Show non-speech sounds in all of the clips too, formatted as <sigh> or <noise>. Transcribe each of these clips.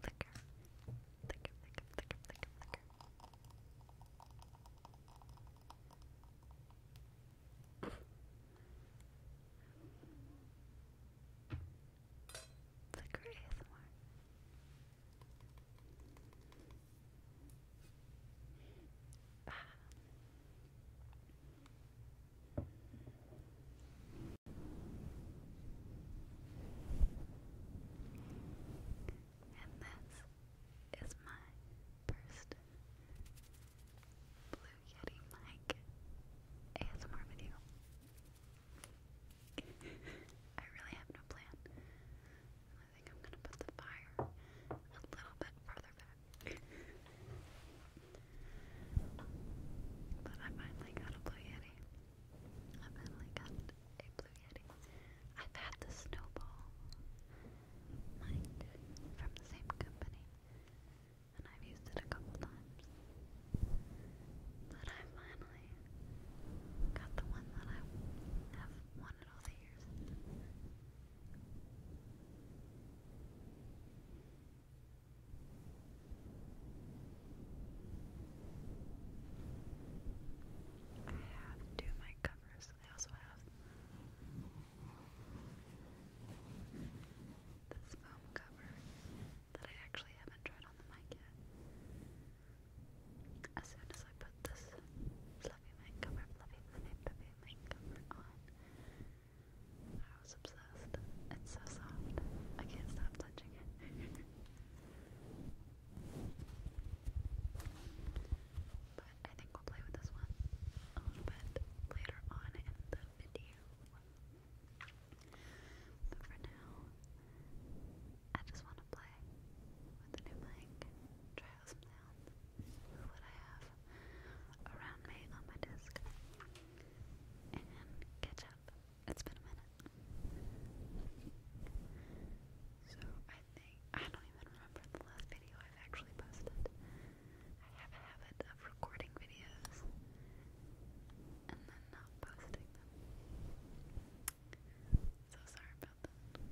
Flicker. Flicker, flicker, flicker, flicker, flicker. Flicker ASMR. Ah. And this is my first Blue Yeti mic ASMR video. I really have no plan. I think I'm gonna put the fire a little bit further back. but I finally got a Blue Yeti. I finally got a Blue Yeti. I've had the Snowball mind from the same company, and I've used it a couple times. But I finally got the one that I have wanted all the years. I have two mic covers. I also have this foam cover that I actually haven't tried on the mic yet. As soon as I put this fluffy mic cover, fluffy, fluffy, fluffy mic cover on, I was obsessed. It's so soft. I can't stop touching it. <laughs> but I think we'll play with this one a little bit later on in the video. But for now, I just want to play with the new mic, try out some sounds with what I have around me on my desk, and catch up. It's been a minute. So I think I don't even remember the last video I've actually posted. I have a habit of recording videos and then not posting them. So sorry about that.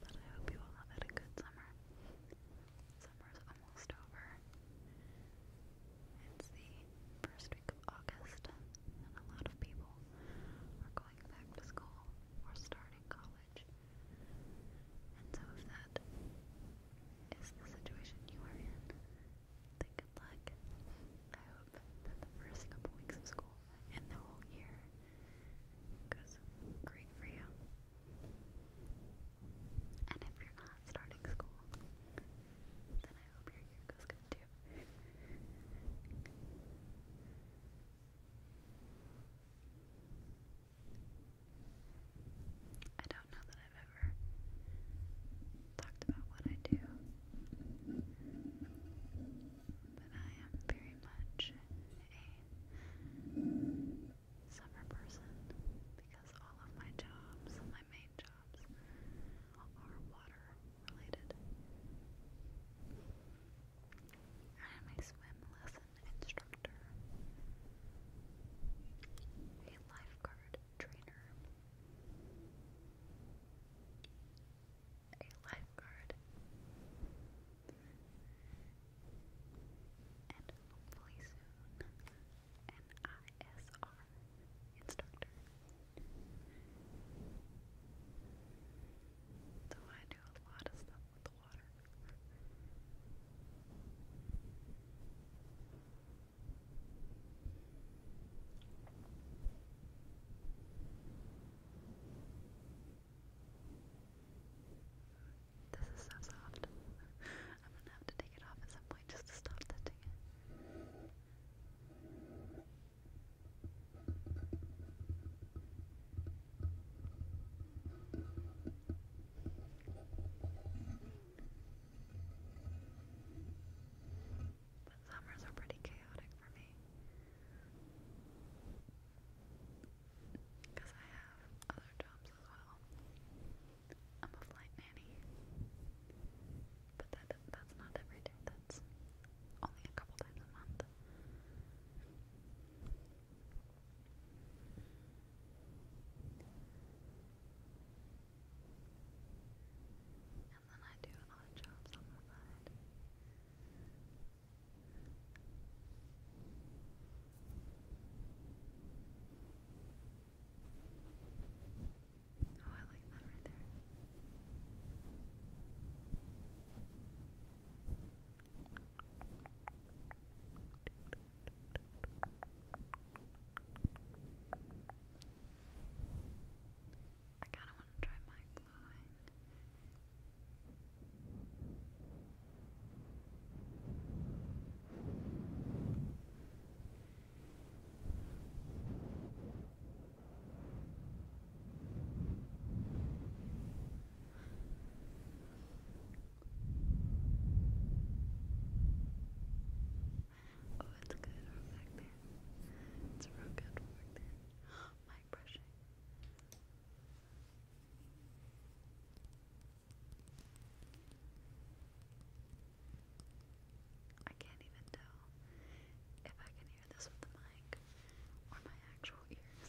But I hope you all have had a good summer. Summer's almost over. It's the first week of August, and a lot of people are going back to school or starting college. And so, if that is the situation you are in, then good luck. I hope that the first couple weeks of school and the whole year because great for you. And if you're not starting school, then I hope your year goes good too. I don't know that I've ever talked about what I do, but I am very much a summer person because all of my jobs, my main jobs, are water related. I am a swim lesson instructor, a lifeguard trainer, a lifeguard. And hopefully soon, an instructor. So I do a lot of stuff with the water. This is so soft. I'm gonna have to take it off at some point just to stop touching it. summers are pretty chaotic for me. Because I have other jobs as well. I'm a flight nanny. But that that's not every day, that's only a couple times a month. And then I do odd jobs on the side. Oh, I like that right there. I kind of want to try my glowing. Oh, it's good, we there. It's real good, we there stop my brushing. I can't even tell if I can hear this with the mic or my actual ears.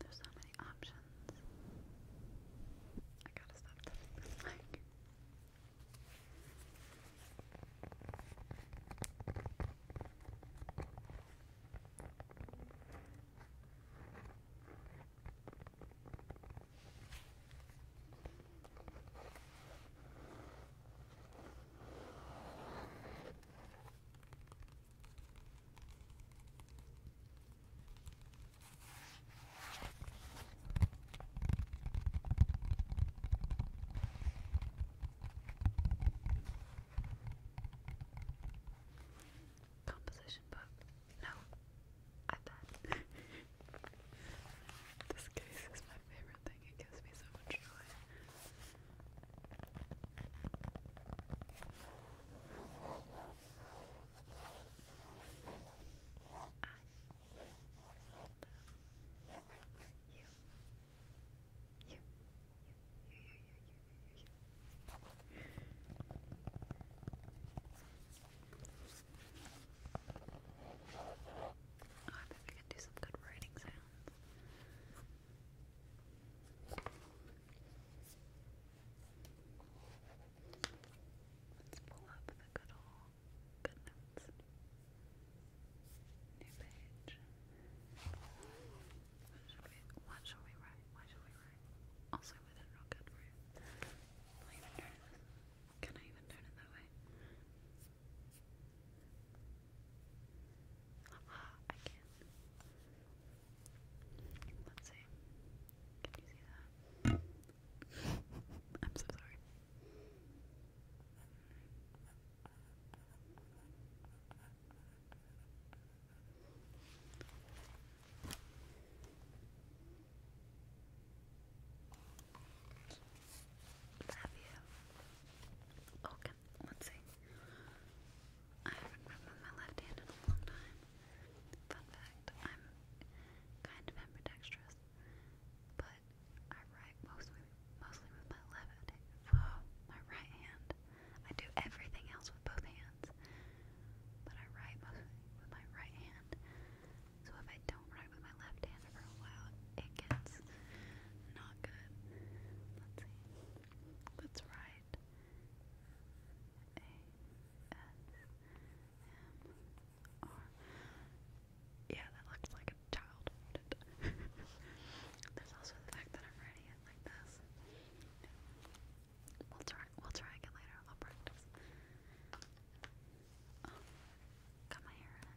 There's so many options. I gotta stop this Composition book. No, iPad. <laughs> this case is my favorite thing. It gives me so much joy. I bet we can do some good writing sounds. Let's pull up the good old good notes. New page. What should we what shall we write? Why should we write? Also we did real good for you. Can I even turn it that way? I can. Let's see. Can you see that? I'm so sorry. Love you. Okay let Let's see. I haven't written with my left hand in a long time. Fun fact, I'm kind of ambidextrous, but I write mostly mostly with my left oh, my right hand. I do everything else with both hands, but I write mostly with my right hand. So if I don't write with my left hand, after a while it gets not good. Let's see. Let's write Yeah, that looks like a child. <laughs> There's also the fact that I'm writing it like this. We'll try. We'll try again later. I'll practice. Oh, got my hair in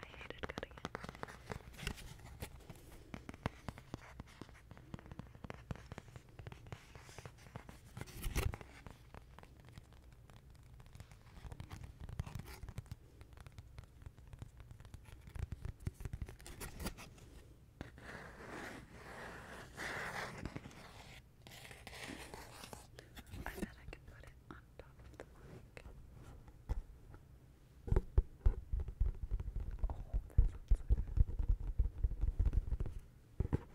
I hated cutting it. I bet I can put it on top of the mic. Oh, that sounds good.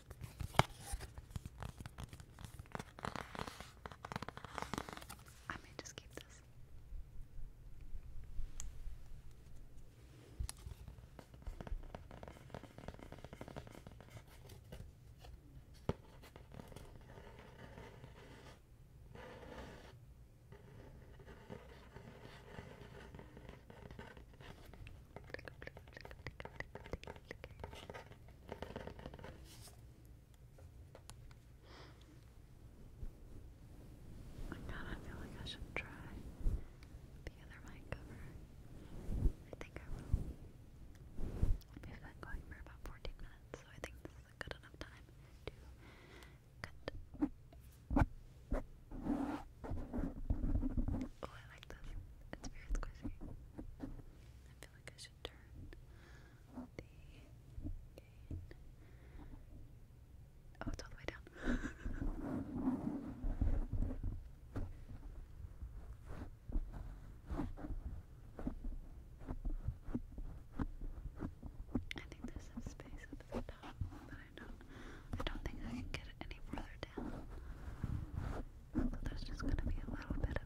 I may just keep this. Oh my god, I feel like I should try the other mic I think I will. We've been going for about 14 minutes, so I think this is a good enough time to cut. Oh, I like this. It's very squishy. I Oh, it's all the way down. I think there's some space up at the top, but I don't I don't think I can get any further down. So there's just gonna be a little bit of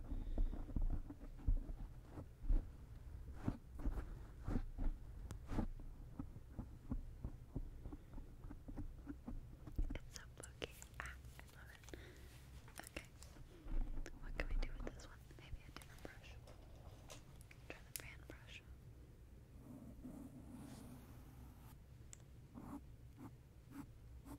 It's so fluky. Ah, I love it. Okay. What can we do with this one? Maybe a different brush. Try the brand brush. Okay.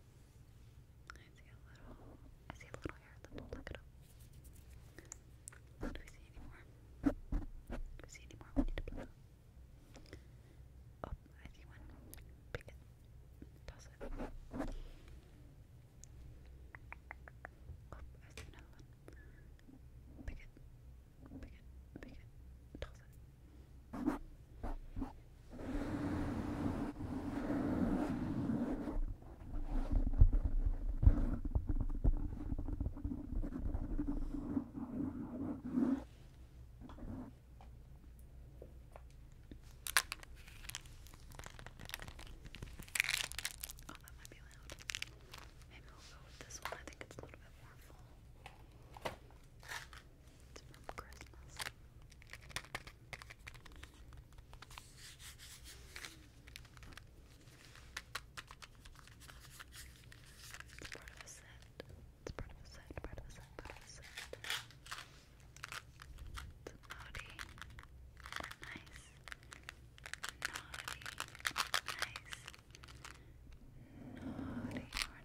I see a little, I see a little hair at the look it up. Do we see any see any we need to pluck up? Oh, I see one. Pick it. Toss it. Oh, I see another one. Pick it. Pick it. Pick it. Toss it. Oh, that might be loud. Maybe we'll go with this one. I think it's a little bit more full. It's from Christmas. It's part of a set. It's part of a set, part of a set, part of a set. naughty nice. Naughty nice. Naughty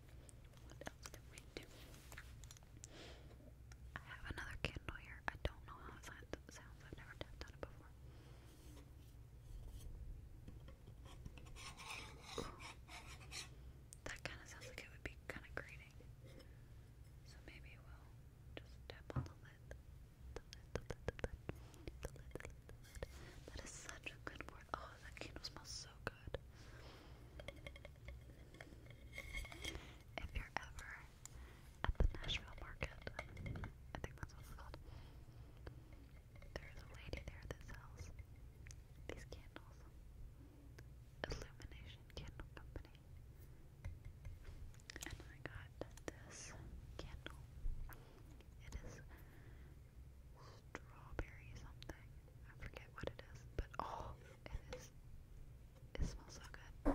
What else I have another candle here. I don't know how it sounds. I've never tapped it before. That kind of sounds like it would be kind of grating. So maybe we'll just tap on the lid. The lid, the lid, the lid. The lid, That is such a good word. Oh, that candle smells so If you're ever at the Nashville market, I think that's what it's called. There's a lady there that sells these candles. Illumination Candle Company. And I got this candle. It is strawberry something. I forget what it is, but oh, it is. It smells so good.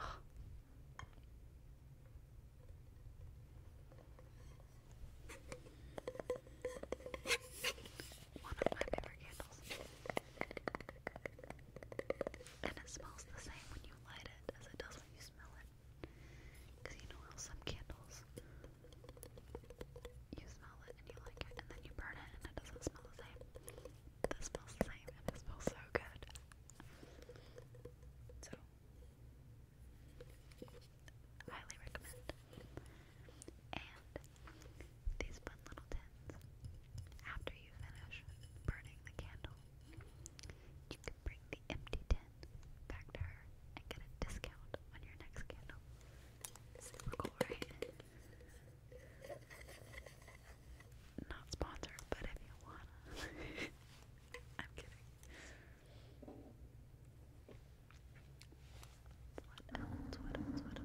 Oh. of my favorite candles. And it smells the same when you light it as it does when you smell it. you know some candles you smell it and you like it, and then you burn it and it doesn't smell the same. This smells the same and it smells so good. So, highly recommend. And these fun little tins, after you finish burning the candle, you can bring the empty tin back to her and get a discount on your next candle. Super cool, right? Not sponsored, but if you wanna. <laughs> I'm kidding. What else? What else? What else? What else?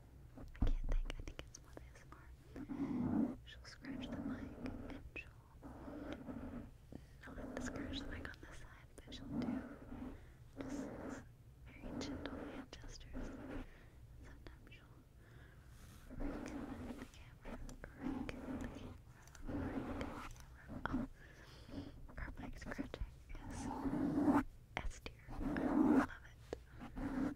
I can't think, I think it's what is more. She'll scratch the mic and she'll not scratch the mic on this side, but she'll do just very gentle hand gestures. sometimes she'll rake the camera, rake the camera, rake the camera. Oh, her mic scratching is S I love it.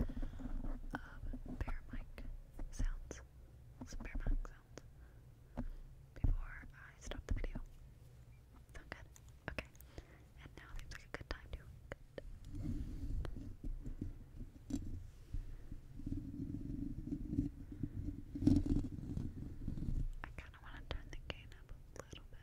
of um, bear mic sounds, some bear mic sounds, before I stop the video. Sound good? Okay. And now seems like a good time to. I kind of want to turn the gain up a little bit.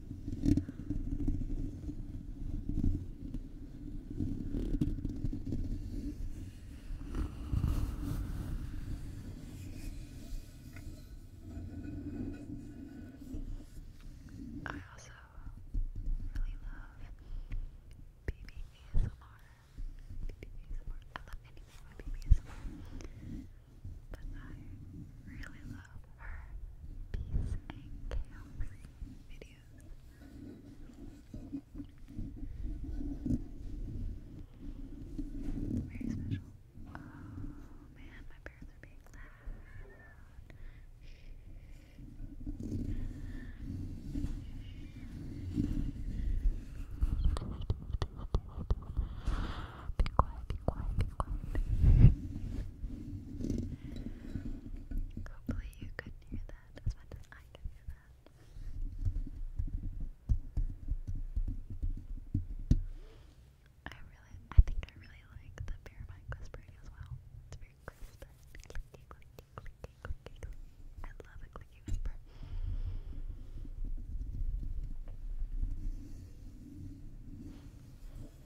I also really love BB ASMR. BB ASMR. I love anything with ASMR. But I really love her Peace and Chaos videos. Very special. Oh man, my parents are being loud. Be quiet, be quiet, be quiet. Hopefully you could hear that as much as I can hear that. I really, I think I really like the bear mic whispering as well. It's very crisp and I love a clicky I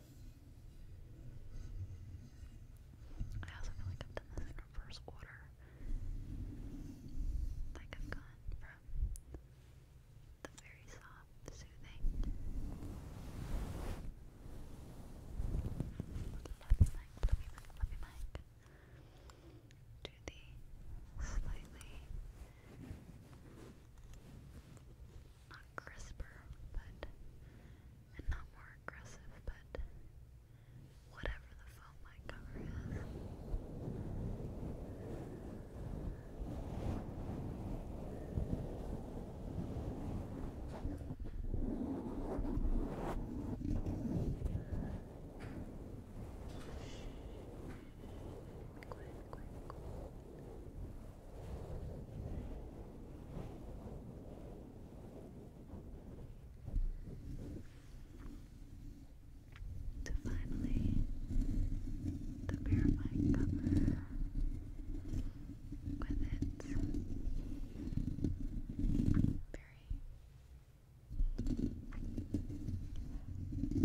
also feel like I've done this in reverse order. Like I've gone from the very soft, soothing fluffy mic, fluffy mic, fluffy mic to the slightly not crisper, but and not more aggressive, but whatever the foam light cover is. To finally the purifying cover with its very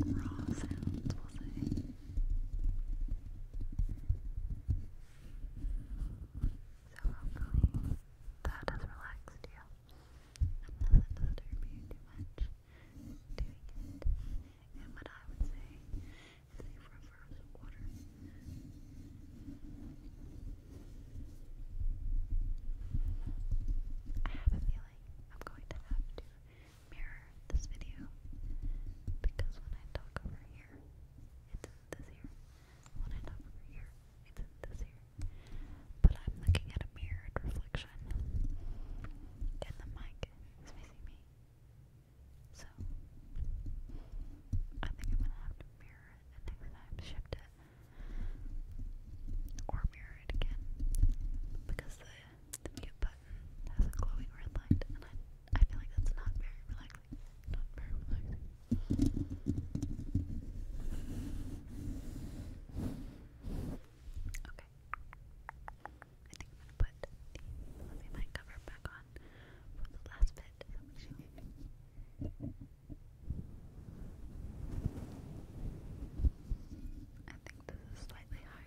raw sounds, we'll say. So hopefully that has relaxed you and doesn't disturb you too much doing it. And what I would say is a reverse order. I have a feeling I'm going to have to mirror this video because when I talk over here, it's in this ear. One end over here, it's in this ear. But I'm looking at a mirrored reflection, and the mic is facing me. So, I think I'm gonna have to mirror it next time shift it. Or mirror it again. Because the, mute button has a glowing red light, I feel like that's not very relaxing. Not very relaxing. Okay. I think I'm gonna put the fluffy cover back on for the last bit. I think this is slightly higher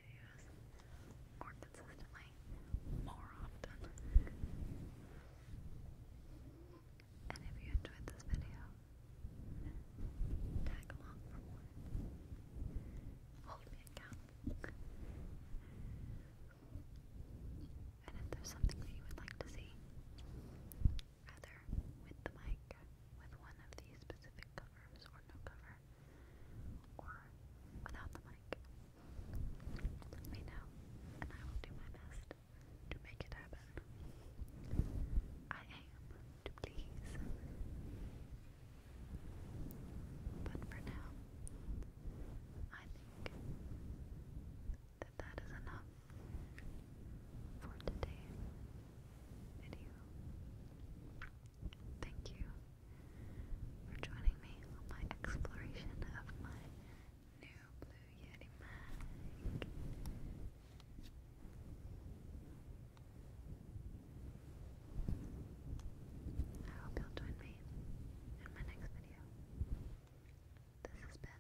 videos more consistently, more often. And if you enjoyed this video, tag along Hold me accountable. And if there's something that you would like to see, either with the mic, with one of these specific covers, or no cover, or without the mic. Let me know, and I will do my best to make it happen. I aim to please. But for now, I think that that is enough for today's video. Thank you for joining me on my exploration of my new Blue Yeti mag. I hope you'll join me in my next video. This has been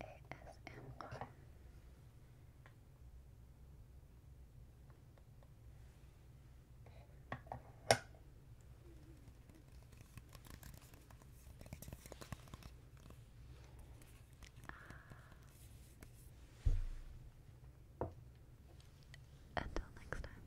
ASMR. Uh, until next time.